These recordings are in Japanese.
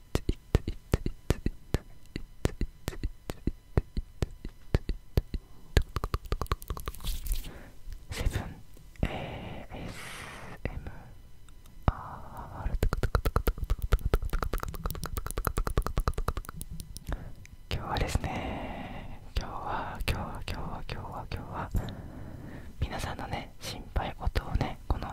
セブン ASMR 今日はですね今日は今日は今日は今日は今日は皆さんのね心配事をねこの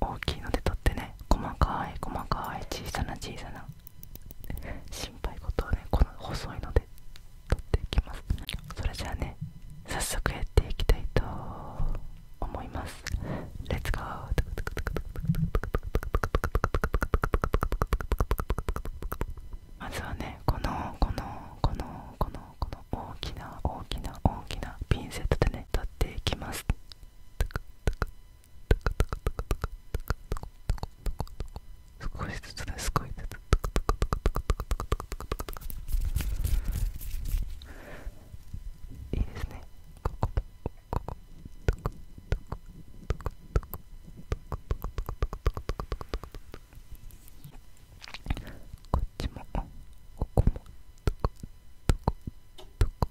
大きいのでとってね細かい細かい小さな小さな心配事をねこの細いので取っていきますそれじゃあね早速やっていきたいと思いますレッツゴーまずはねこのこのこのこのこの大きな大きな大きなピンセットでね取っていきます少しずつねすごずついいですねこっちも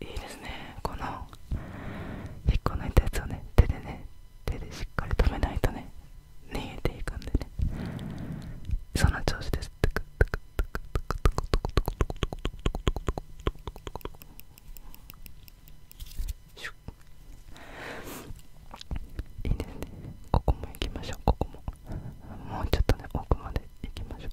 いいですねこの引っこ抜いたやつをね手でね手でしっかり止めないとね逃げていくんでねその調子ですいいですねここも行きましょうここももうちょっとね奥まで行きましょう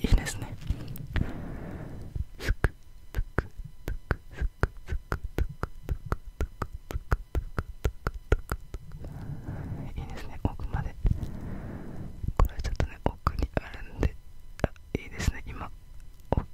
いいですねいいですね奥までこれはちょっとね奥にあるんであいいですね今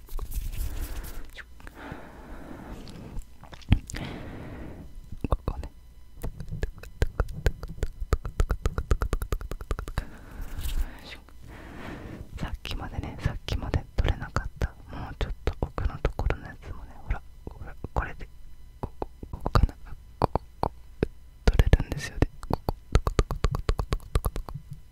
ここねさっきまでねさっきまで取れなかったもうちょっと奥のところのやつもねほらほらこれでここかなここ取れるんですよね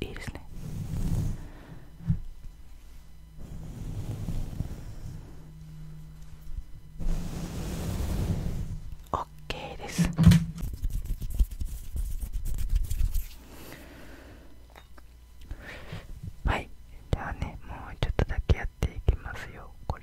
いいですねオッケーですはいじゃあねもうちょっとだけやっていきますよこれ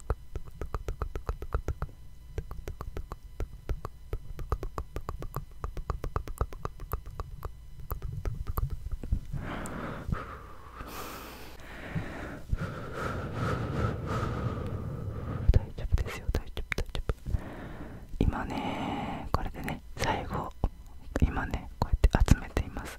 大丈夫ですよ大丈夫大丈夫今ねこれでね最後今ねこうやって集めています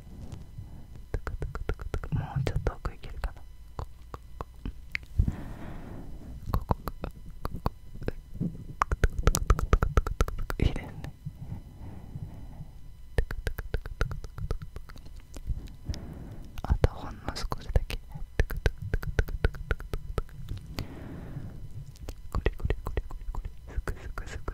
もうちょっと奥行けるかなここここここいいですねあとほんの少しだけこれこれこれこれこれすくすくすく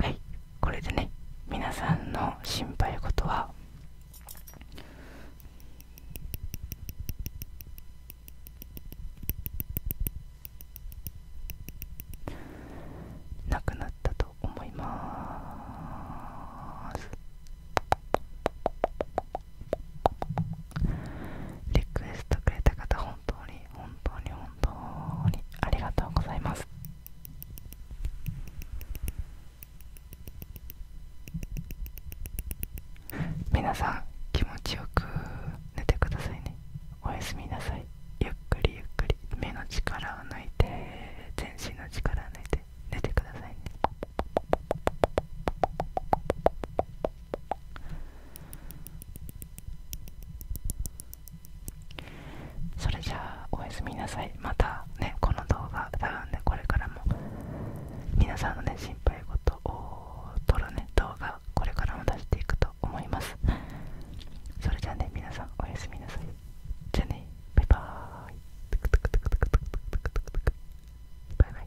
はいこれでね皆さんの心配事はなくなったと思いますリクエストくれた方本本当に本当に本当にありがとうございます皆さん気持ちよく寝てくださいねおやすみなさいゆっくりゆっくり目の力を抜いて全身の力を抜いて寝てくださいねそれじゃあおやすみなさいまたねこの動画多分ねこれからも皆さんのね心配事を撮るね動画これからも出していくと思いますそれじゃあね皆さんおやすみなさいじゃあねバイバーイバイバイ